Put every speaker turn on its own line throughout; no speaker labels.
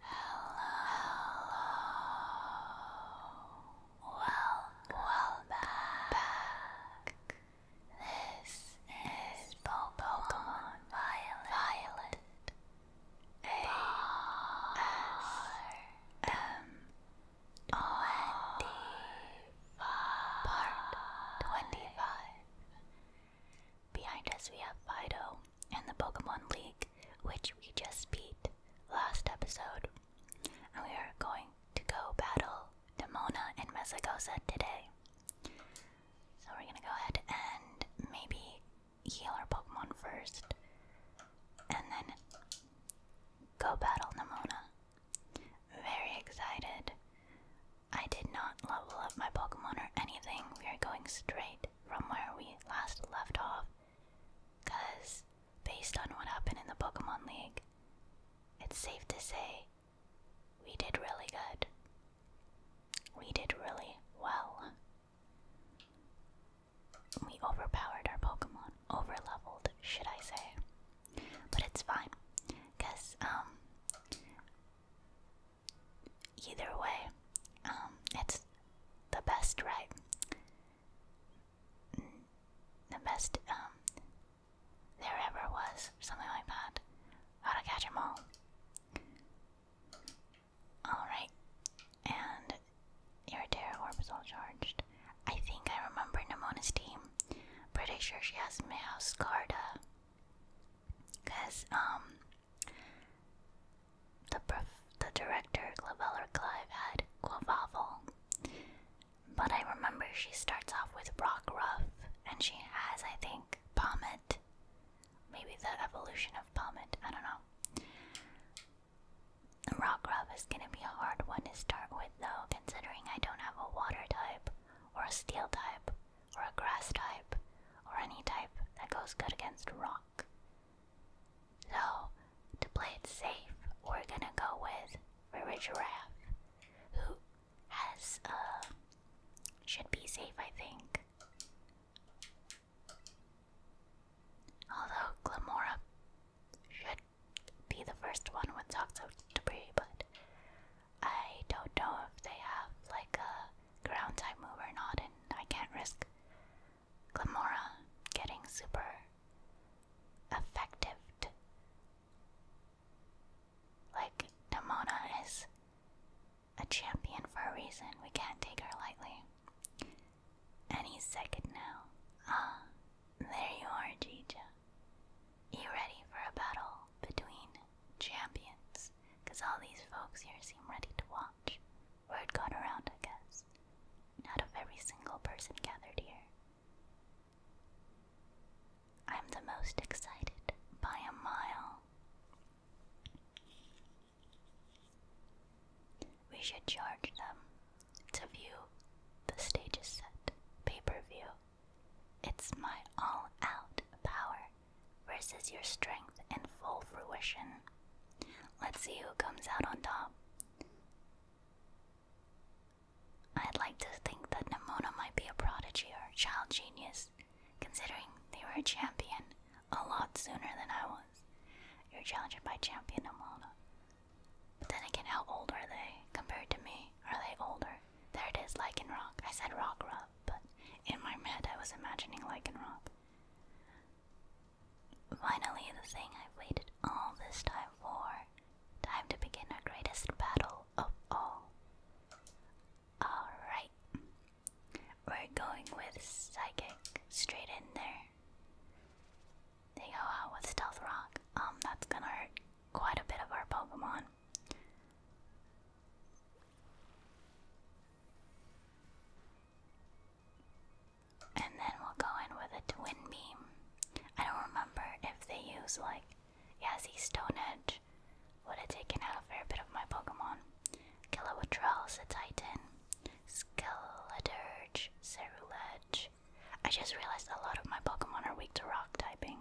hello. Welcome, welcome back. back. This is Pokemon, Violet. Part 25. Behind us we have Fido, in the Pokemon League, which we just beat last episode. And we are going to go battle Demona and Mesagosa today. So we're gonna go ahead and maybe heal our Pokemon first. And then go battle Nimona. Very excited. I did not level up my Pokemon or anything. We are going straight from where we last left off. Because, based on what happened in the Pokemon League, it's safe to say we did really good. We did really well. We overpowered our Pokemon, overleveled, should I say. But it's fine, because, um, Either way, um, it's the best, right? The best um, there ever was, something like that. How to catch 'em all. Alright, and your Terra Orb is all charged. I think I remember Nimona's team. Pretty sure she has Meowscarda. Cause um the prof the director Claveller Clive had Quavavel. But I remember she starts off with Rock Ruff and she has I think Pommet. Maybe the evolution of Pommet, I don't know. Rock Ruff is gonna be a hard one to start with though, considering I don't have a water type or a steel type or a grass type, or any type that goes good against rock. So, to play it safe, we're gonna go with River Giraffe, who has, uh, should be safe, I think. Although Glamora should be the first one with Toxic Debris, but I don't know if they have like a ground type move or not, and I can't risk Glamora getting super effective. Like, Damona is a champion for a reason. We can't take her lightly. Any second now. Ah, there you are, Jija. You ready for a battle between champions? Because all these folks here seem ready to walk. Word got around, I guess. Not a very single person gathered here. I'm the most excited by a mile. We should charge them to view the stage is set pay per view. It's my all out power versus your strength in full fruition. Let's see who comes out on top. I'd like to think that Nimona might be a prodigy or child genius, considering they were a champion a lot sooner than I was. You're challenging my champion Nimona. But then again, how old are they compared to me? Are they older? There it is, Rock. I said Rock Rockruff, but in my head I was imagining Rock. Finally, the thing I've waited all this time for. Time to begin our greatest battle of all. Alright. We're going with Psychic straight in there. They go out with Stealth Rock. Um, that's gonna hurt quite a bit of our Pokemon. And then we'll go in with a twin beam. I don't remember if they use like yeah, Stone Edge would have taken out a fair bit of my Pokemon. Kilowattrell's a Titan. Skeleturge, Cerulege. I just realized a lot of my Pokemon are weak to rock typing.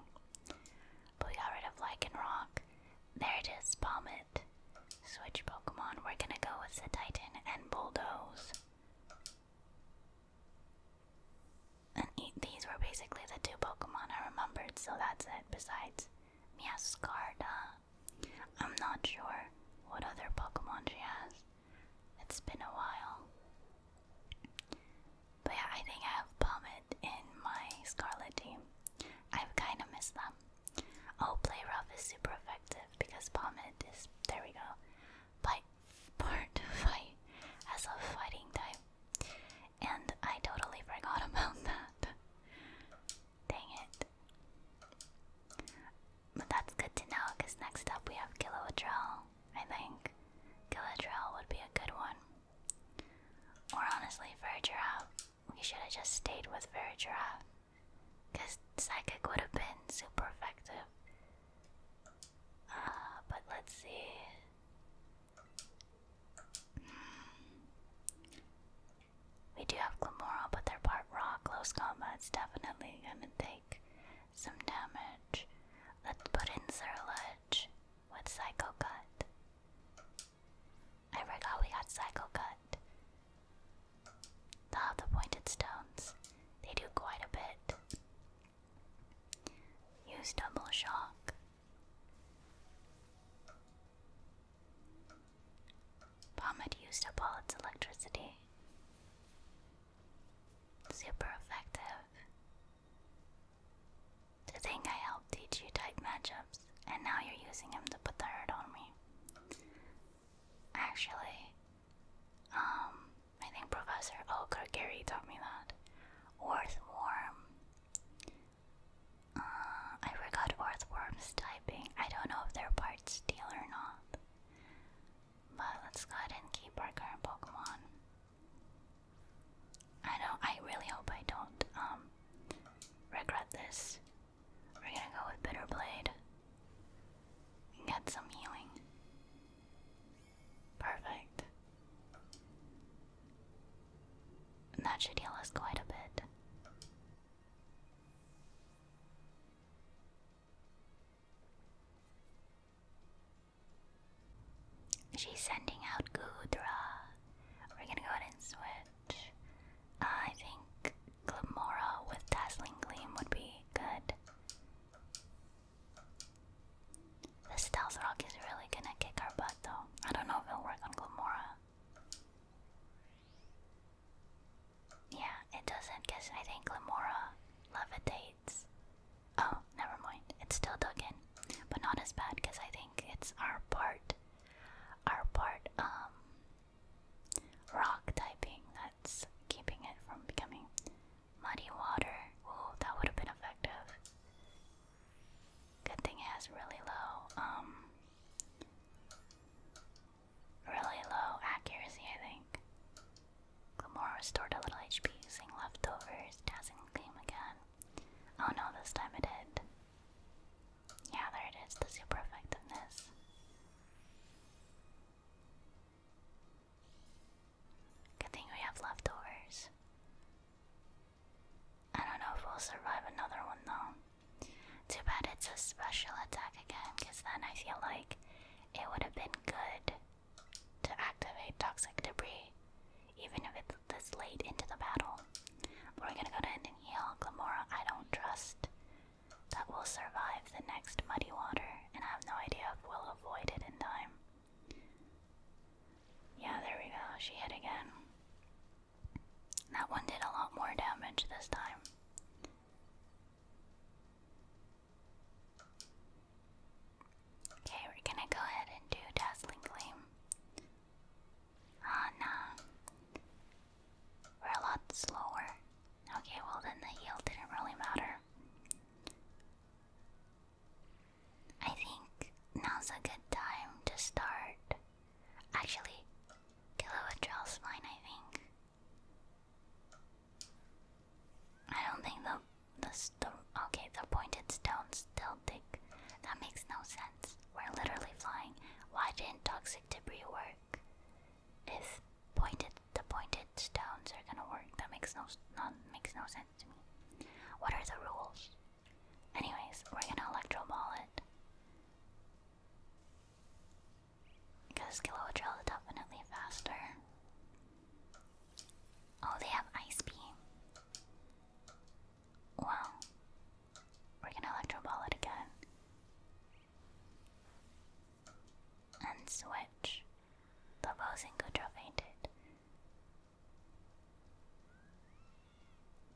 But we got rid of Lycanroc. There it is, Palmage. Switch Pokemon, we're gonna go with the Titan and Bulldoze. And these were basically the two Pokemon I remembered, so that's it. Besides Miascarda, I'm not sure what other Pokemon she has. It's been a while. But yeah, I think I have Pommet in my Scarlet team. I've kind of missed them. Oh, play rough is super effective because Palmet is there we go. Bite to fight as a fighting type. And I totally forgot about that. Dang it. But that's good to know because next up we have Kilowattrell, I think. Kilowattrell would be a good one. Or honestly, for a we should have just stayed with Vergiraffe. Because Psychic would have been super effective. Uh, but let's see. We do have Glamora, but they're part rock. Close it's definitely gonna take some damage. Let's put in Zerledge with Psycho Cut. I forgot we got cycle cut. Ah, the pointed stones. They do quite a bit. Use double shock. Pomade used up all its electricity. Super effective. To think I helped teach you type matchups and now you're using him to put the hurt on me. Actually, um, I think Professor Oker Gary taught me that. Earthworm. Uh, I forgot Earthworm's typing. I don't know if they're part steel or not. But let's go ahead and keep our current Pokemon. I know. I really hope I don't um, regret this we're gonna go with Bitter get some healing. Perfect. that should heal us quite a bit. She's sending out Gudra. We're gonna go ahead and switch. Uh, I think Glamora with Dazzling Gleam would be good. The Stealth Rock is really gonna kick our butt though. I don't know if it'll work on Glamora. Yeah, it doesn't because I think Glamora levitates. Oh, never mind. It's still dug in, but not as bad because I think it's our part are part um, rock typing that's keeping it from becoming muddy water. Ooh, that would have been effective. Good thing it has really low um,
really low
accuracy I think. Glamora restored a little HP using leftovers, dazzling gleam again. Oh no, this time it did. Yeah, there it is, the super effectiveness. Good thing we have leftovers. I don't know if we'll survive another one though. Too bad it's a special attack again, then I feel like it would have been good to activate toxic debris, even if it's this late into the battle. We're gonna go to Ending Heal. Glamora, I don't trust that will survive the next Muddy Water, and I have no idea if we'll avoid it in time. Yeah, there we go. She hit again. That one did a lot more damage this time. Okay, we're gonna go ahead and do Dazzling Gleam. Oh no. We're a lot slower. Okay, well then the yield didn't really matter. I think now's a good time to start. Actually, Kilowattrell's fine, I think. I don't think the the st okay the pointed stones still thick. That makes no sense. We're literally flying. Why didn't toxic debris work? If pointed the pointed stones are gonna work, that makes no not makes no sense to me. What are the rules? Anyways, we're gonna electro ball it. Because Kilowodrill is definitely faster. Oh, they have Ice Beam. Well, we're gonna electro it again. And switch. The bows good Goodra fainted.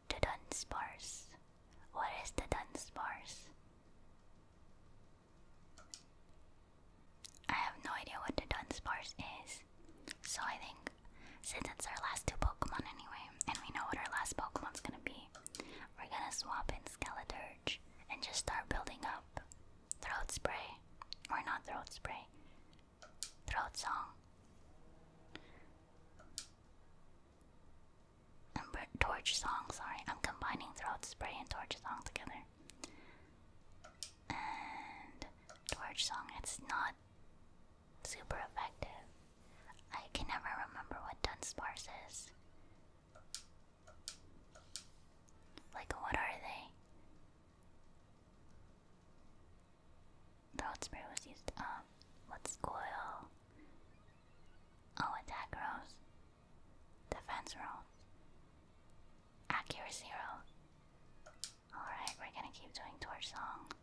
The Dunsparce. What is the Dunsparce? I have no idea what the Dunsparce is, so I think since it's our last two Pokemon anyway, and we know what our last Pokemon's gonna be, we're gonna swap in Skeleturge and just start building up Throat Spray. Or not Throat Spray, Throat Song. Torch Song, sorry. I'm combining Throat Spray and Torch Song together. And Torch Song, it's not super effective. I can never remember what Dunsparce is. Like, what are they? Throat was used. Um, uh, coil. Oh, attack rolls. Defense rolls. Accuracy rolls. Alright, we're gonna keep doing torch song.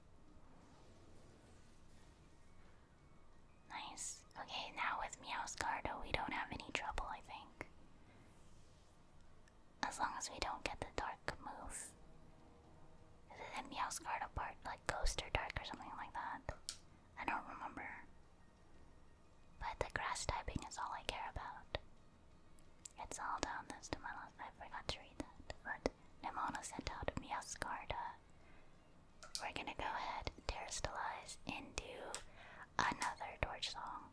Nice. Okay, now with Meowscardo we don't have any trouble, I think. As long as we don't get the dark move. The Meowscardo part, like Ghost or Dark or something like that. I don't remember. But the grass typing is all I care about. It's all down this to I forgot to read that. But Nemona sent out Miascarda. We're gonna go ahead, Terrestrialize, and do another torch song.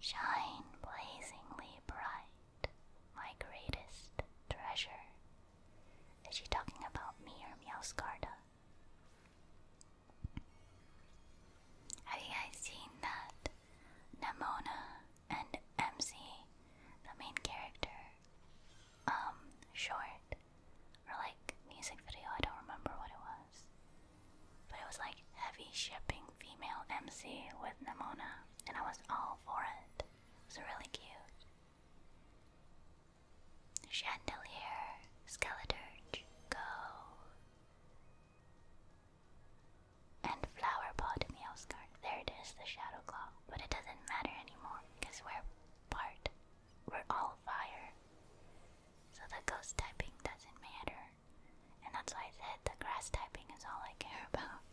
Shine blazingly bright, my greatest treasure. Is she talking about me or Miascarda? Have you guys seen that Nemona and MC, the main character, um, short, or like music video, I don't remember what it was. But it was like heavy shipping female MC with Nimona, and I was all for it. It was really cute. Chandelier, Skeleturge, go and flower pot in the Oscar. There it is, the shadow claw. But it doesn't matter anymore because we're part. We're all fire. So the ghost typing doesn't matter. And that's why I said the grass typing is all I care about.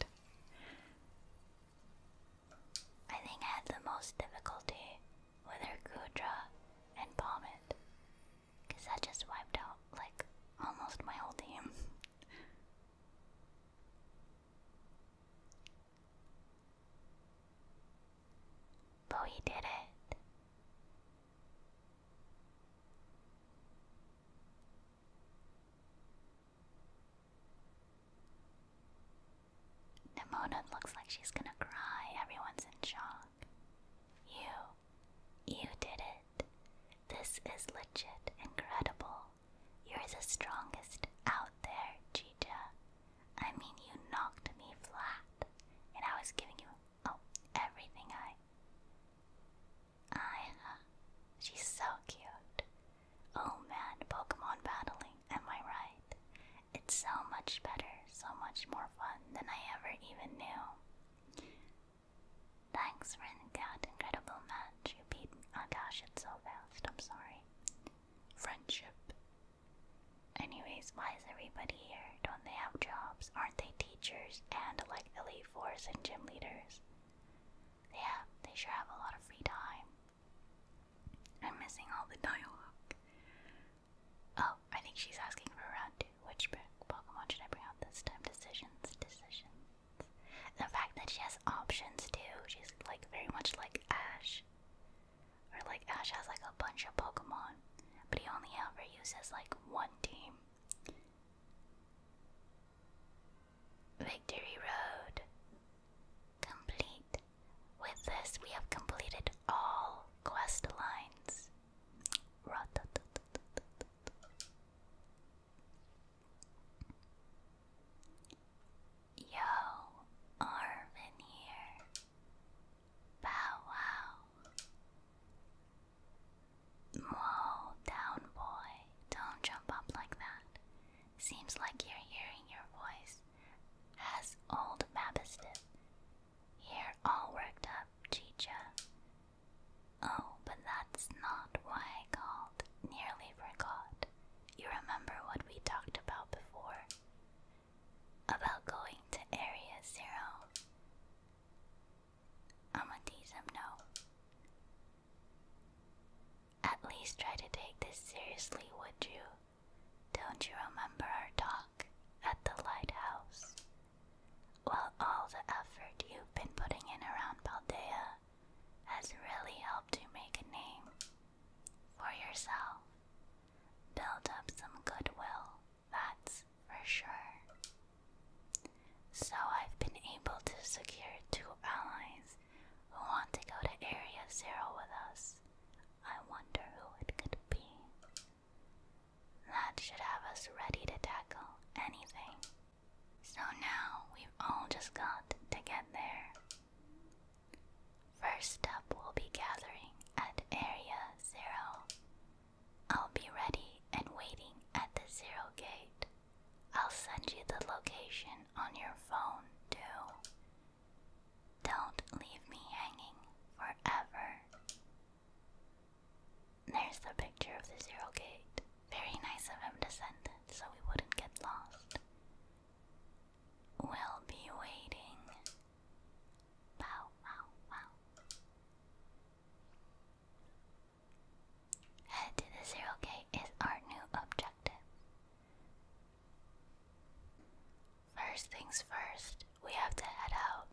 I think I had the most difficulty with her Gudra and Pommet. Because that just wiped out like almost my whole team. But we did it. Nimona looks like she's gonna cry. Everyone's in shock. You. You did it. This is legit incredible. You're the strongest out there, Chicha. I mean, you knocked me flat, and I was giving you, oh, everything I. I, uh, she's so cute. Oh man, Pokemon battling, am I right? It's so much better, so much more fun than I ever even knew. Thanks, Renegade. Incredible match. You beat me. Oh gosh, it's so fast. I'm sorry. Friendship. Anyways, why is everybody here? Don't they have jobs? Aren't they teachers and like elite force and gym leaders? Yeah, they sure have a lot of free time. I'm missing all the dialogue. Oh, I think she's asking for a round two. Which book? Pokemon should I bring out this time? Decisions, decisions. The fact that she has options too, she's like very much like Ash. Or like Ash has like a bunch of Pokemon, but he only ever uses like one team. Victory Road. Complete. With this, we have completed all quest lines. Yo, Arvin here. Bow wow. Whoa, down boy. Don't jump up like that. Seems like you're hearing your voice. Has old Mabiston. Here all worked up, Chicha. Oh, but that's not why I called. Nearly forgot. You remember what we talked about before? About going to Area Zero. I'ma tease him no. At least try to take this seriously, would you? Don't you remember our talk at the lighthouse? Well, all the effort you've been putting in around Baldea has really helped you make a name for yourself. Build up some goodwill, that's for sure. So I've been able to secure two allies who want to go to Area Zero with us. I wonder who it could be. That should have us ready to tackle anything so now we've all just got to get there. First up, we'll be gathering at Area Zero. I'll be ready and waiting at the Zero Gate. I'll send you the location on your phone, too. Don't leave me hanging forever. There's the picture of the Zero Gate. Very nice of him to send it so we wouldn't get lost. We'll be waiting. Wow, wow, wow. Head to the zero gate is our new objective. First things first, we have to head out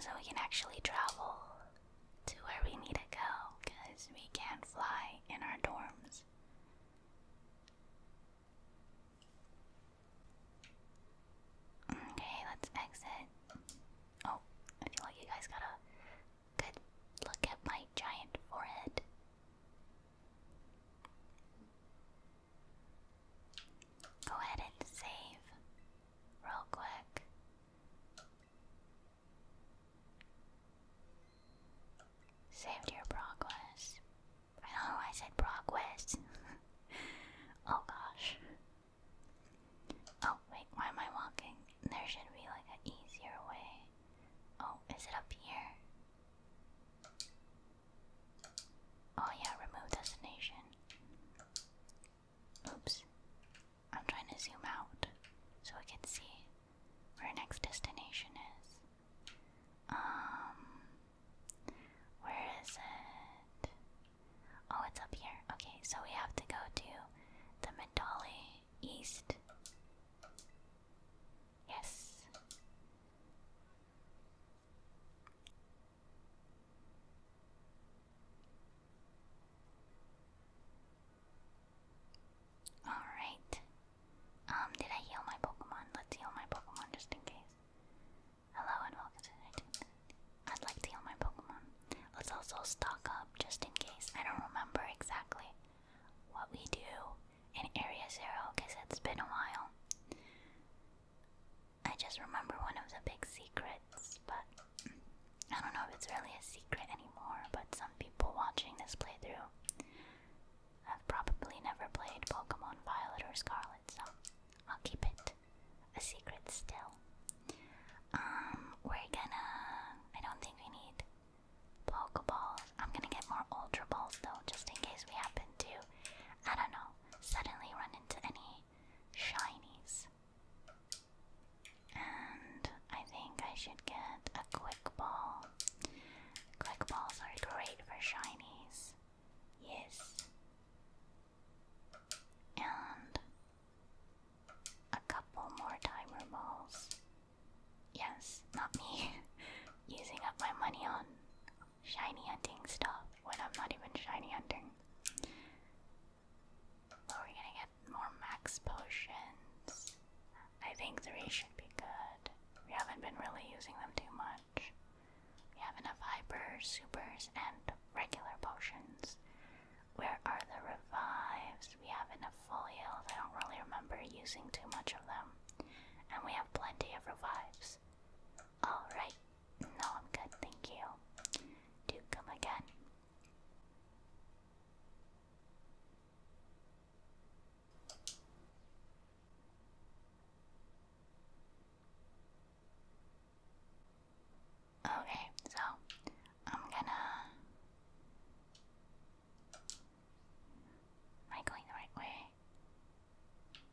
so we can actually travel to where we need to go because we can't fly in our dorms. Okay, let's exit. Oh, I feel like you guys got a good look at my giant forehead. Go ahead and save real quick. Saved your progress. I don't know why I said progress. oh gosh. Oh wait, why am I walking? There should be like an easier way. Oh, is it up here? Oh yeah, remove destination. Oops. I'm trying to zoom out so I can see where our next destination is. Um where is it? Oh, it's up here. Okay, so we have to go to the Medali East. Yes. Alright. Um, did I heal my Pokemon? Let's heal my Pokemon just in case. Hello and welcome to I'd like to heal my Pokemon. Let's also stock up just in case. I don't remember exactly what we do in Area Zero because it's been a while. I just remember one of the big secrets but I don't know if it's really a secret anymore. But some people watching this playthrough have probably never played Pokemon Violet or Scarlet, so I'll keep it a secret still. Um, we're gonna. I don't think we need Pokeballs. I'm gonna get more Ultra Balls though, just in case we happen to, I don't know, suddenly run into any shinies. And I think I should get a quick ball. Click balls are great for shinies. Yes. And a couple more timer balls. Yes, not me using up my money on shiny hunting stuff when I'm not even shiny hunting. But we gonna get more max potions. I think three should be good. We haven't been really using them too much. We have enough hyper, supers, and regular potions. Where are the revives? We have enough full heals. I don't really remember using too much of them. And we have plenty of revives. Alright. No, I'm good, thank you. Do come again. Okay, so I'm gonna. Am I going the right way?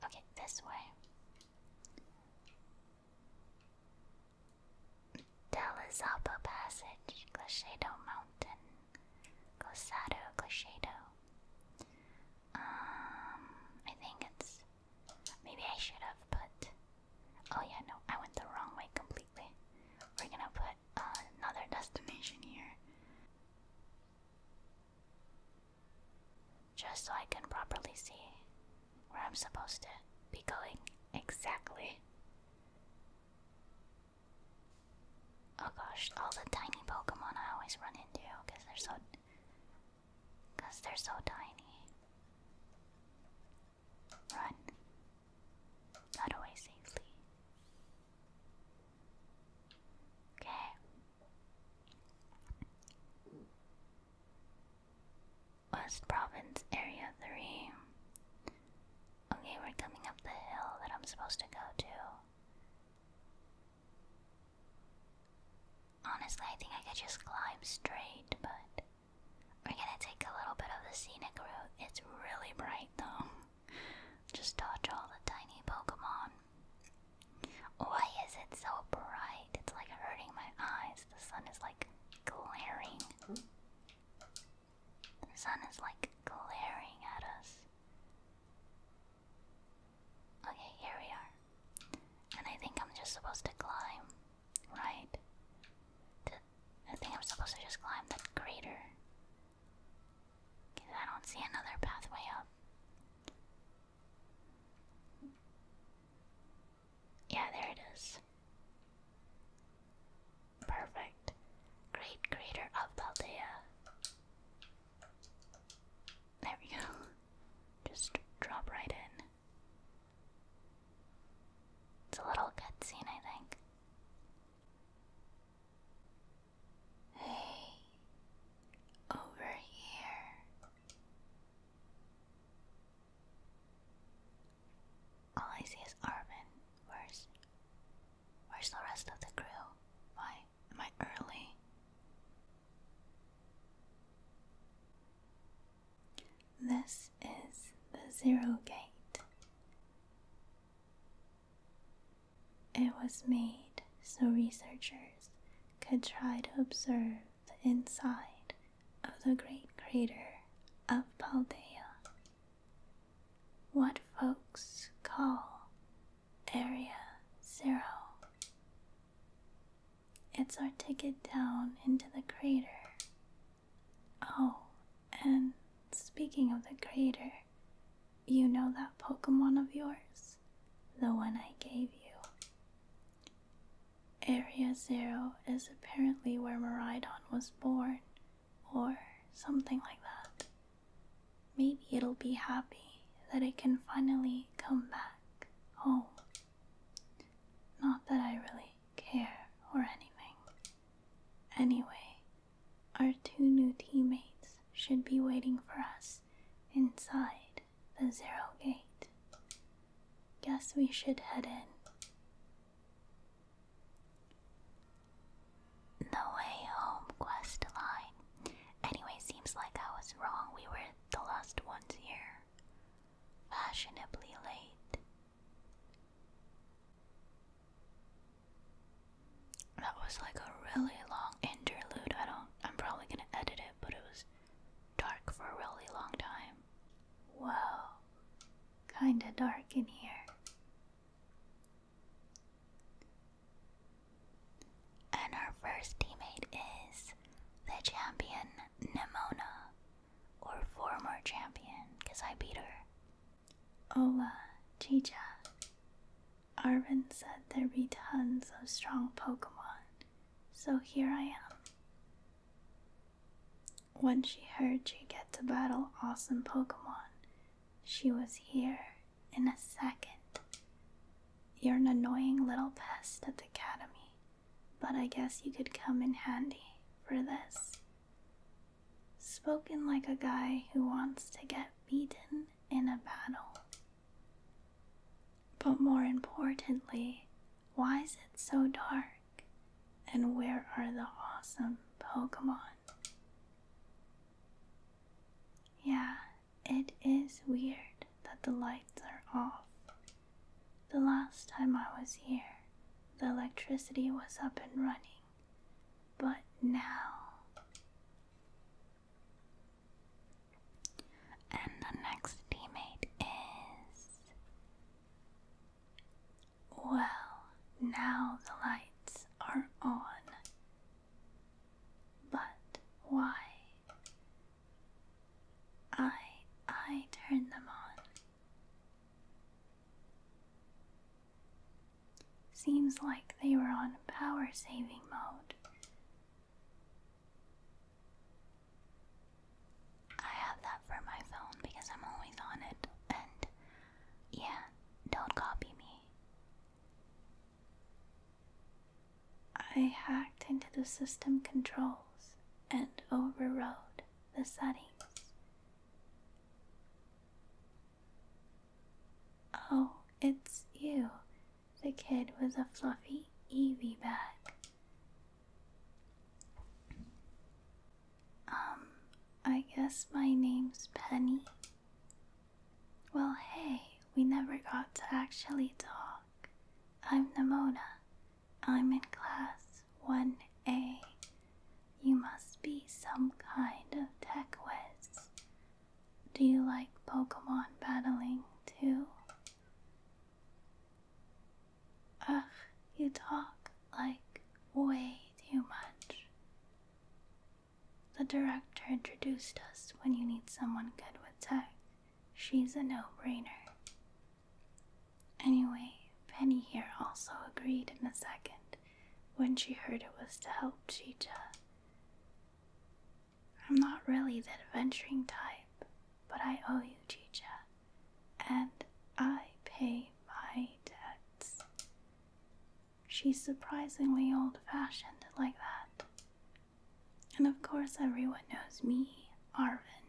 Okay, this way. Delazapa Passage, Glashado Mountain, Glosado, Glashado. Um, I think it's. Maybe I should have put. Oh yeah, no, I went the wrong way completely. We're gonna put another destination here. Just so I can properly see where I'm supposed to be going exactly. Oh gosh, all the tiny Pokemon I always run into because they're so because they're so tiny. Run. Not away safely. Okay. West Province, Area 3. Okay, we're coming up the hill that I'm supposed to go to. Honestly, I think I could just climb straight, but we're gonna take a little bit of the scenic route. It's really bright though. Just dodge all the tiny Pokemon. Why is it so bright? It's like hurting my eyes. The sun is glaring. The sun is like glaring at us. Okay, here we are. And I think I'm just supposed to climb, right? I think I'm supposed to just climb the crater. Because I don't see another pathway up. Yeah, there it is. Perfect. Great Crater of Paldea. There we go. Just drop right in. It's a little cutscene, I think. Hey, over here. All I see is Arvin. Where's where's the rest of the crew? Why am I early? This is the Zero Gate. It was made so researchers could try to observe the inside of the great crater of Paldea, what folks call Area Zero. It's our ticket down into the crater. Oh, and speaking of the crater, you know that Pokemon of yours? The one I gave you. Area Zero is apparently where Maridon was born, or something like that. Maybe it'll be happy that it can finally come back home. Not that I really care or anything. Anyway, our two new teammates should be waiting for us inside the Zero Gate. Guess we should head in. The way home quest line. Anyway, seems like I was wrong. We were the last ones here. Fashionably late. That was like a really long interlude. I don't I'm probably gonna edit it, but it was dark for a really long time. Whoa, kinda dark in here. And our first teammate is the champion Nemona, or former champion, because I beat her. Ola, Chicha. Arvin said there'd be tons of strong Pokemon, so here I am. When she heard she get to battle awesome Pokemon, she was here in a second. You're an annoying little pest at the academy, but I guess you could come in handy for this. Spoken like a guy who wants to get beaten in a battle. But more importantly, why is it so dark? And where are the awesome Pokemon? Yeah, it is weird that the lights are off. The last time I was here, the electricity was up and running, but now. And the next teammate is well, now the lights are on. But why? I I turn them on. Seems like they were on power saving mode. I have that for my phone because I'm always on it, and yeah, don't copy me. I hacked into the system controls and overrode the settings. Oh, it's you, the kid with a fluffy Eevee bag. Um, I guess my name's Penny. Well, hey, we never got to actually talk. I'm Nomona. I'm in class 1A. You must be some kind of tech whiz. Do you like Pokemon battling too? Ugh, you talk like way too much. The director introduced us when you need someone good with tech. She's a no brainer. Anyway, Penny here also agreed in a second when she heard it was to help Chicha. I'm not really the adventuring type, but I owe you, Chicha and I pay my debts. She's surprisingly old fashioned like that. And of course, everyone knows me, Arvin,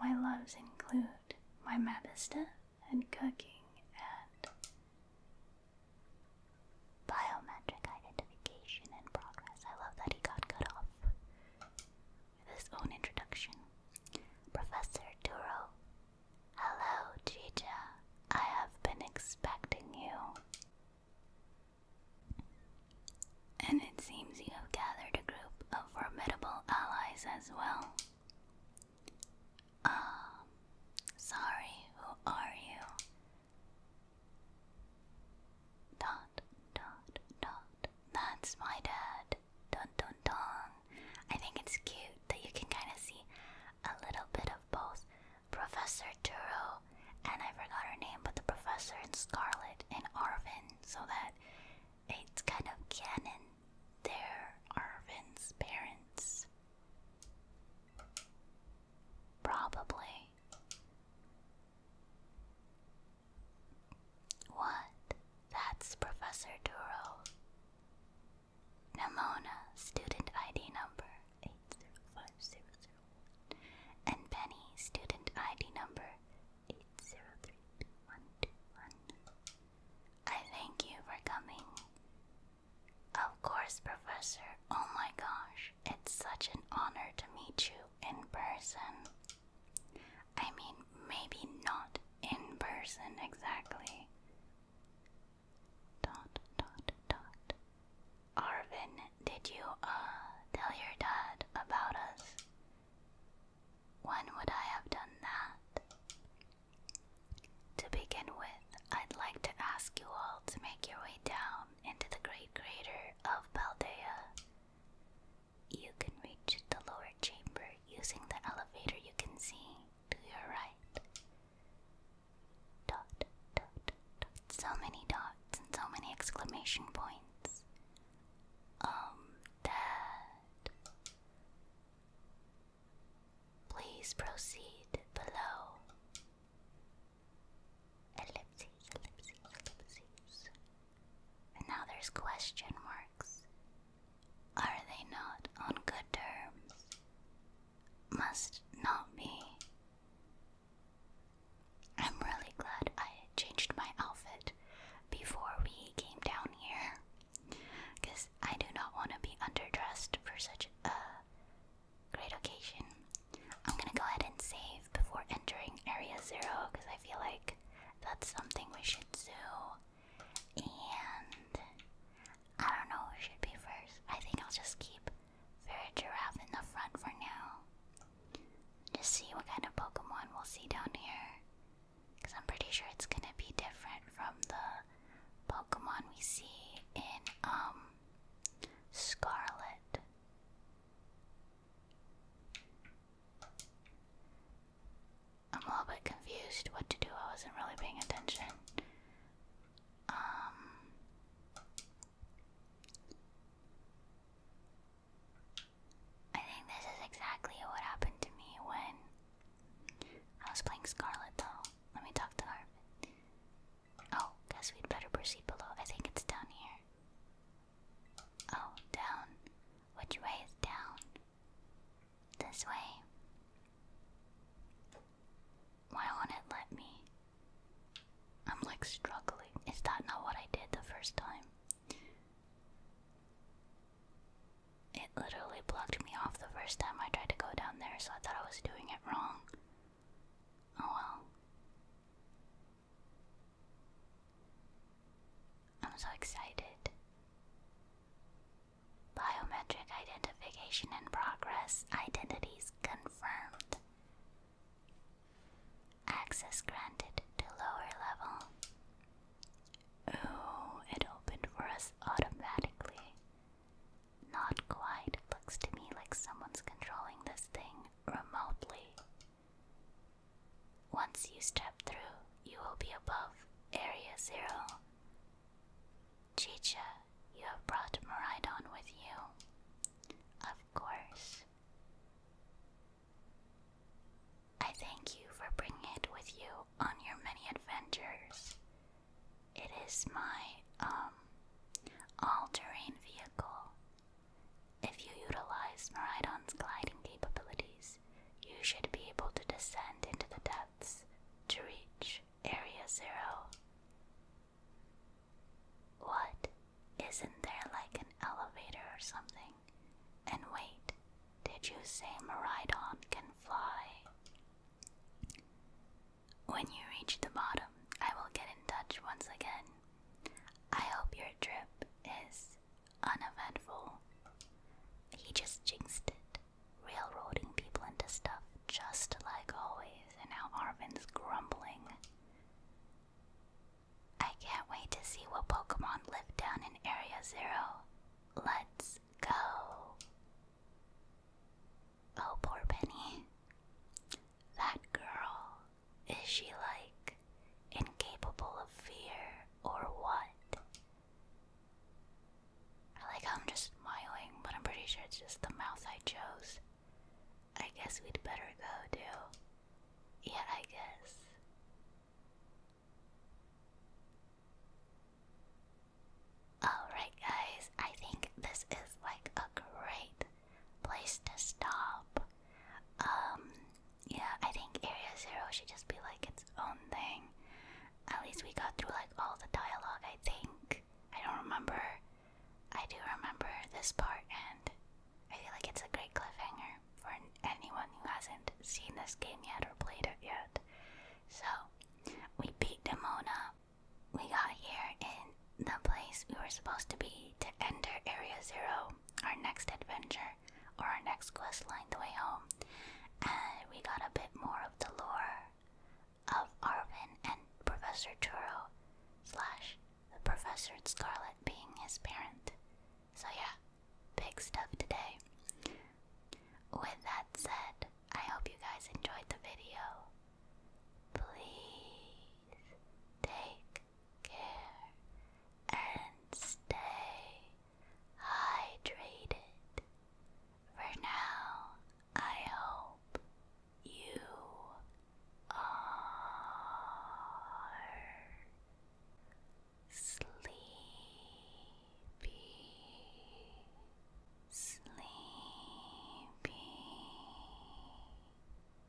my loves include my Mabista and cooking and biometric identification in progress. I love that he got cut off his own introduction. Professor Duro. Hello, Chicha. I have been expecting you. And it seems you have gathered a group of formidable allies as well. Ah, sorry, who are you? Dot, dot, dot. That's my dad. Dun dun dun. I think it's cute that you can kind of see a little bit of both Professor Turo and I forgot her name, but the professor in Scarlet and Arvin, so that it's kind of canon. They're Arvin's parents. Probably. What? That's Professor Duro. Namona, student ID number 805001. And Penny, student ID number 8032121. I thank you for coming. Of course, Professor. Oh my gosh, it's such an honor to meet you in person. I mean, maybe not in person exactly. Dot, dot, dot. Arvin, did you, uh, tell your dad about us? When would I have done that? To begin with, I'd like to ask you all to make your way down into the great crater of Paldea. You can reach the lower chamber using the elevator you can see to your right. Dot, dot, dot. So many dots and so many exclamation points. Um, Please proceed below. Ellipses, ellipses, ellipses. And now there's question marks. Are they not on good terms? Must not be. I'm really glad I changed my outfit before we came down here. Because I do not want to be underdressed for such a great occasion. I'm gonna go ahead and save before entering Area Zero because I feel like that's something we should do. And I don't know who should be first. I think I'll just keep Fairy Giraffe in the front for now. Just see what kind of Pokemon we'll see down here. Because I'm pretty sure it's gonna be different from the Pokemon we see in um Scarlet. I'm a little bit confused what to do. I wasn't really paying attention. Um I think this is exactly what happened to me when I was playing Scarlet though. Let me talk to her. Oh, guess we'd better proceed below. I think it's down here. Oh, down. Which way is down? This way. Why won't it let me? I'm like struggling. Is that not what I did the first time? It literally blocked me off the first time I tried to go down there, so I thought I was doing it wrong. Oh well. I'm so excited. Biometric identification in progress. Identities confirmed. Access granted to lower level. Ooh, it opened for us automatically. Not quite. Looks to me like someone's controlling this thing remotely. Once you step through, you will be above Area Zero. Chicha, you have brought Maridon with you. Of course. I thank you for bringing it with you on your many adventures. It is my, um, all terrain vehicle if you utilize Meridon's gliding capabilities, you should be able to descend into the depths to reach Area Zero. What? Isn't there like an elevator or something? And wait, did you say Meridon can fly? When you reach the bottom, I will get in touch once again. I hope your trip is uneventful. He just jinxed it, railroading people into stuff just like always, and now Arvin's grumbling. I can't wait to see what Pokemon live down in Area Zero. Let's go. Oh, poor Penny. That girl is she like incapable of fear or what? I like I'm just smiling, but I'm pretty sure it's just the mouth I chose. I guess we'd better go, too. Yeah, I guess. Alright, guys, I think this is like a great place to stop. Um, yeah, I think Area Zero should just be like its own thing. At least we got through like all the dialogue, I think. I don't remember. I do remember this part, and I feel like it's a great cliffhanger for anyone who hasn't seen this game yet or played it yet. So, we beat Demona. We got here in the place we were supposed to be to enter Area Zero our next adventure or our next quest lined The Way Home, and we got a bit more of the lore of Arvin and Professor Turo slash the Professor and Scarlet being his parent. So yeah, big stuff today. With that said, I hope you guys enjoyed the video. Please take care and stay hydrated. For now, I hope you are sleepy, sleepy.